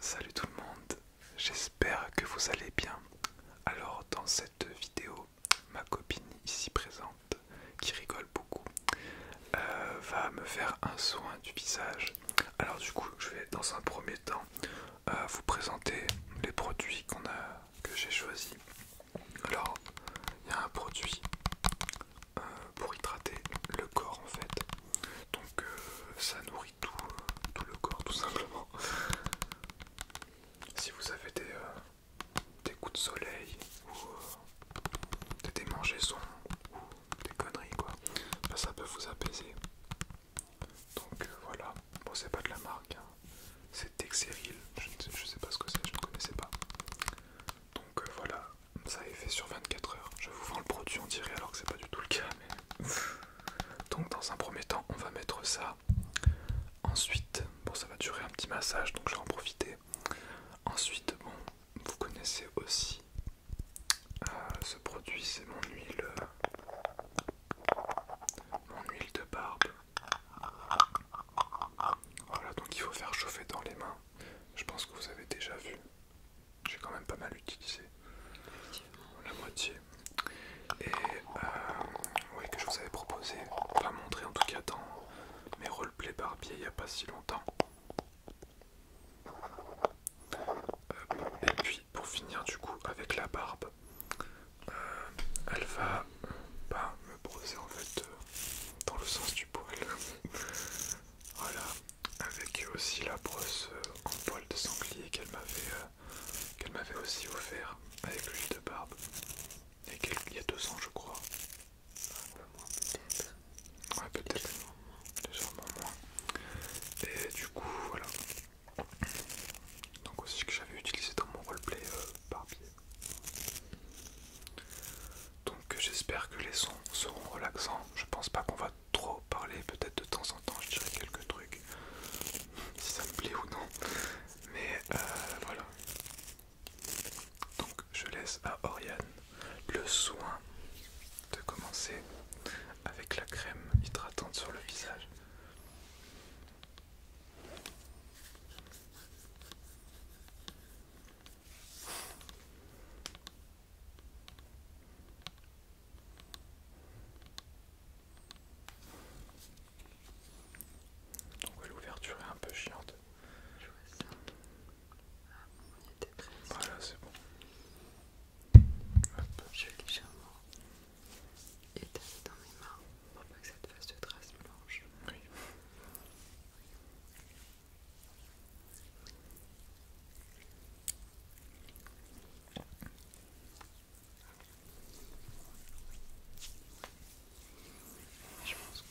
Salut tout le monde, j'espère que vous allez bien. Alors dans cette vidéo, ma copine ici présente, qui rigole beaucoup, euh, va me faire un soin du visage. Alors du coup, je vais dans un premier temps euh, vous présenter les produits que j'ai choisis. Alors, il y a un produit euh, pour hydrater le corps en fait donc euh, ça nourrit tout, le corps tout simplement. si vous avez des, euh, coups de soleil ou euh, des démangeaisons ou des conneries quoi, ben, ça peut vous apaiser. Donc voilà, bon c'est pas de la marque, hein. c'est Texeril. je sais, pas ce que c'est, je ne connaissais pas. Donc voilà, ça est fait sur 24 heures. Je vous vends le produit, on dirait alors que c'est pas du tout le cas. Donc dans un premier temps, on va mettre ça. Ensuite, bon ça va durer un petit massage, donc je vais en profiter. Ensuite, bon, vous connaissez aussi euh, ce produit, c'est mon huile, mon huile de barbe. Voilà, donc il faut faire chauffer dans les mains. Je pense que vous avez déjà vu. J'ai quand même pas mal utilisé. La moitié. Et euh, oui, que je vous avais proposé, pas montrer en tout cas dans mes roleplay barbier il n'y a pas si longtemps. Euh, et puis pour finir du coup avec la barbe, euh, elle va me brosser en fait dans le sens du poil. Voilà, avec aussi la brosse euh, en poil de sanglier qu'elle m'avait euh, qu'elle m'avait aussi offert avec l'huile de barbe. Et il y a 200 je crois. Un peu moins peut-être. Ouais peut-être. moins. Et du coup voilà. Donc aussi que j'avais utilisé dans mon roleplay euh, barbier. Donc j'espère que les sons seront relaxants. Je pense pas qu'on va trop parler, peut-être de temps en temps je dirais quelques trucs, si ça me plaît ou non, mais euh, voilà. Donc je laisse à Oriane le soin de commencer avec la crème hydratante sur le visage. Donc l'ouverture est un peu chiante. Je vois ça. Ah bon, on était presque. Voilà, c'est bon. Je vais légèrement éteindre dans mes mains pour pas que ça te fasse de traces blanches. Oui. Je pense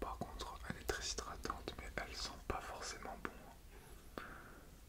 par contre, elle est très hydratante, mais elle sent pas forcément bon.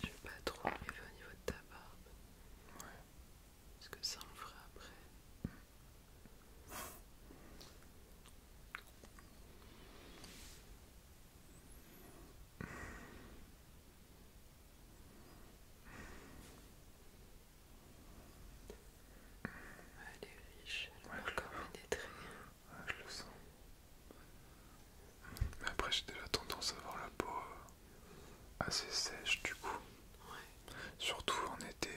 Je ne vais pas trop arriver au niveau de ta barbe. Ouais. Parce que ça en fera après. Elle est riche, elle ouais, encore comme ah, je le sens. Mais après, j'ai déjà tendance à avoir la peau euh, assez sèche, du coup. Surtout en été.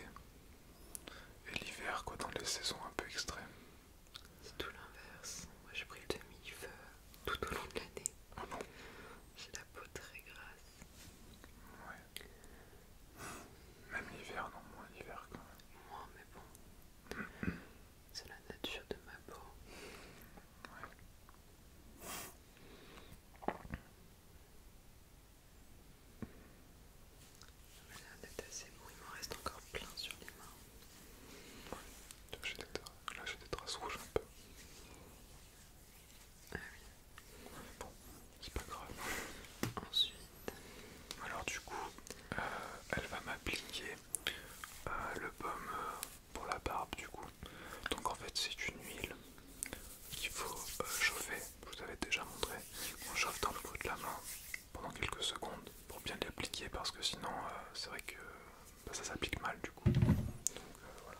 Et l'hiver, quoi, dans les saisons un peu extrêmes. C'est tout l'inverse. Moi, j'ai pris le demi-feu tout au long de l'année. Ah j'ai la peau très grasse. Ouais. Même l'hiver, non, moins l'hiver quand même. Moins, mais bon. Mm, mm. C'est la nature de ma peau. Ouais. Voilà, d'être assez bon, il m'en reste encore plein sur les mains. Ouais. Là j'ai des, des traces rouges un peu. Ah oui. Bon, c'est pas grave. Ensuite, alors du coup, euh, elle va m'appliquer euh, le pomme euh, pour la barbe du coup. Donc en fait c'est une huile qu'il faut chauffer, je vous avais déjà montré. On chauffe dans le creux de la main pendant quelques secondes pour bien l'appliquer parce que sinon c'est vrai que bah, ça s'applique mal du coup. Donc voilà.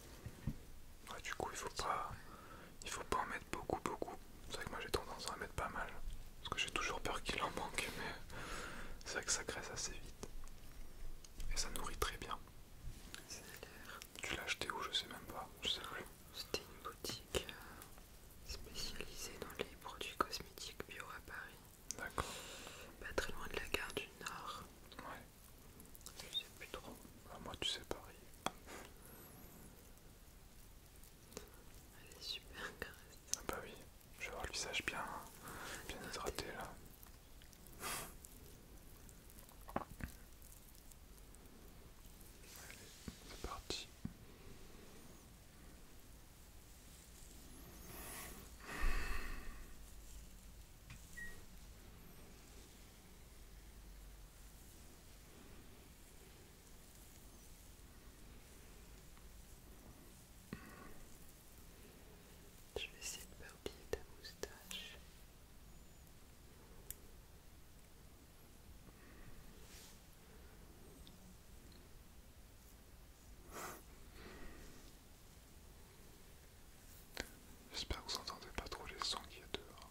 Ouais, du coup, il faut pas, il faut pas en mettre beaucoup, beaucoup. C'est vrai que moi j'ai tendance à en mettre pas mal, parce que j'ai toujours peur qu'il en manque, mais c'est vrai que ça graisse assez vite et ça nourrit très bien. Ça tu l'as acheté où Je sais même pas. Je sais plus. C'était une boutique euh, spécialisée dans les produits cosmétiques bio à Paris. D'accord. Pas très loin de la gare du Nord. Ouais. Je sais plus trop. moi tu sais pas. Elle est super caressante. Ah bah oui, je vais avoir le visage bien, bien hydraté là. Allez, c'est parti. Je vais essayer de oublier ta moustache. J'espère que vous n'entendez pas trop les sons qu'il y dehors.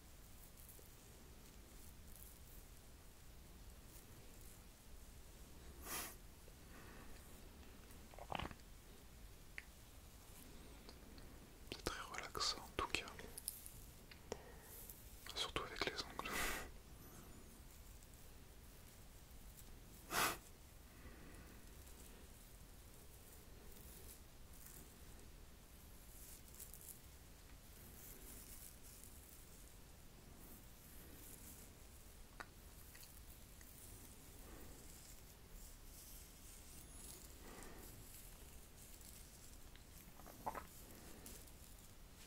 C'est très relaxant en tout cas. Surtout avec les ongles.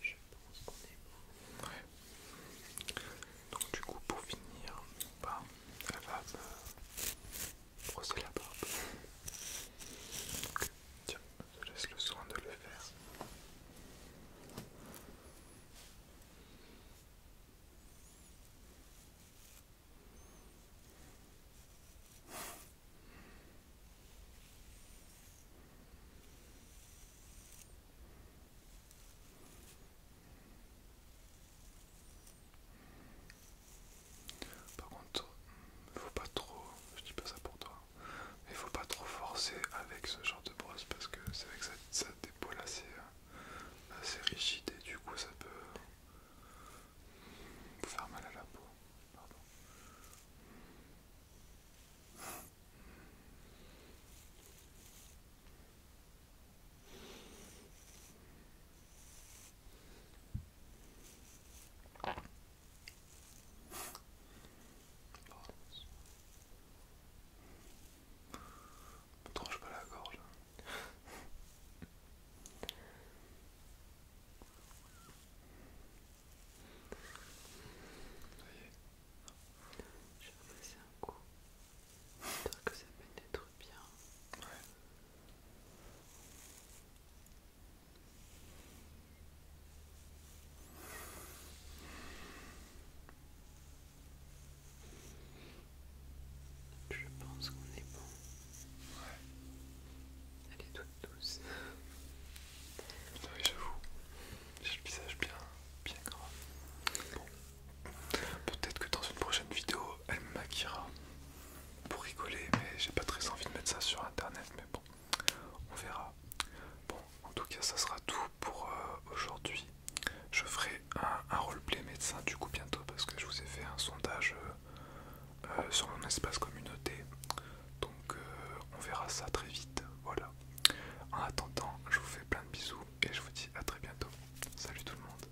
Je pense qu'on est bon. Ouais. Donc du coup pour finir, bah, elle va me brosser la barbe. Tiens, je te laisse le soin de le faire. Par contre, mm, faut pas trop, je dis pas ça pour toi, il faut pas trop forcer avec ce genre de brosse parce que c'est vrai que ça, assez, euh, assez et du coup ça peut mm, faire mal à la peau. Me tranche pas la gorge. Je vais passer J'ai un coup. J'espère que ça être bien. Je pense qu'on est bon. Ouais. Elle est toute douce. Oui, j'avoue. J'ai le visage bien, bien grand. Bon. Peut-être que dans une prochaine vidéo, elle me maquillera pour rigoler, mais j'ai pas très envie de mettre ça sur internet, mais bon, on verra. Bon, en tout cas, ça sera tout pour euh, aujourd'hui. Je ferai un, roleplay médecin du coup bientôt parce que je vous ai fait un sondage euh, euh, sur mon espace communauté. Donc on verra ça très vite. Voilà. En attendant, je vous fais plein de bisous et je vous dis à très bientôt. Salut tout le monde.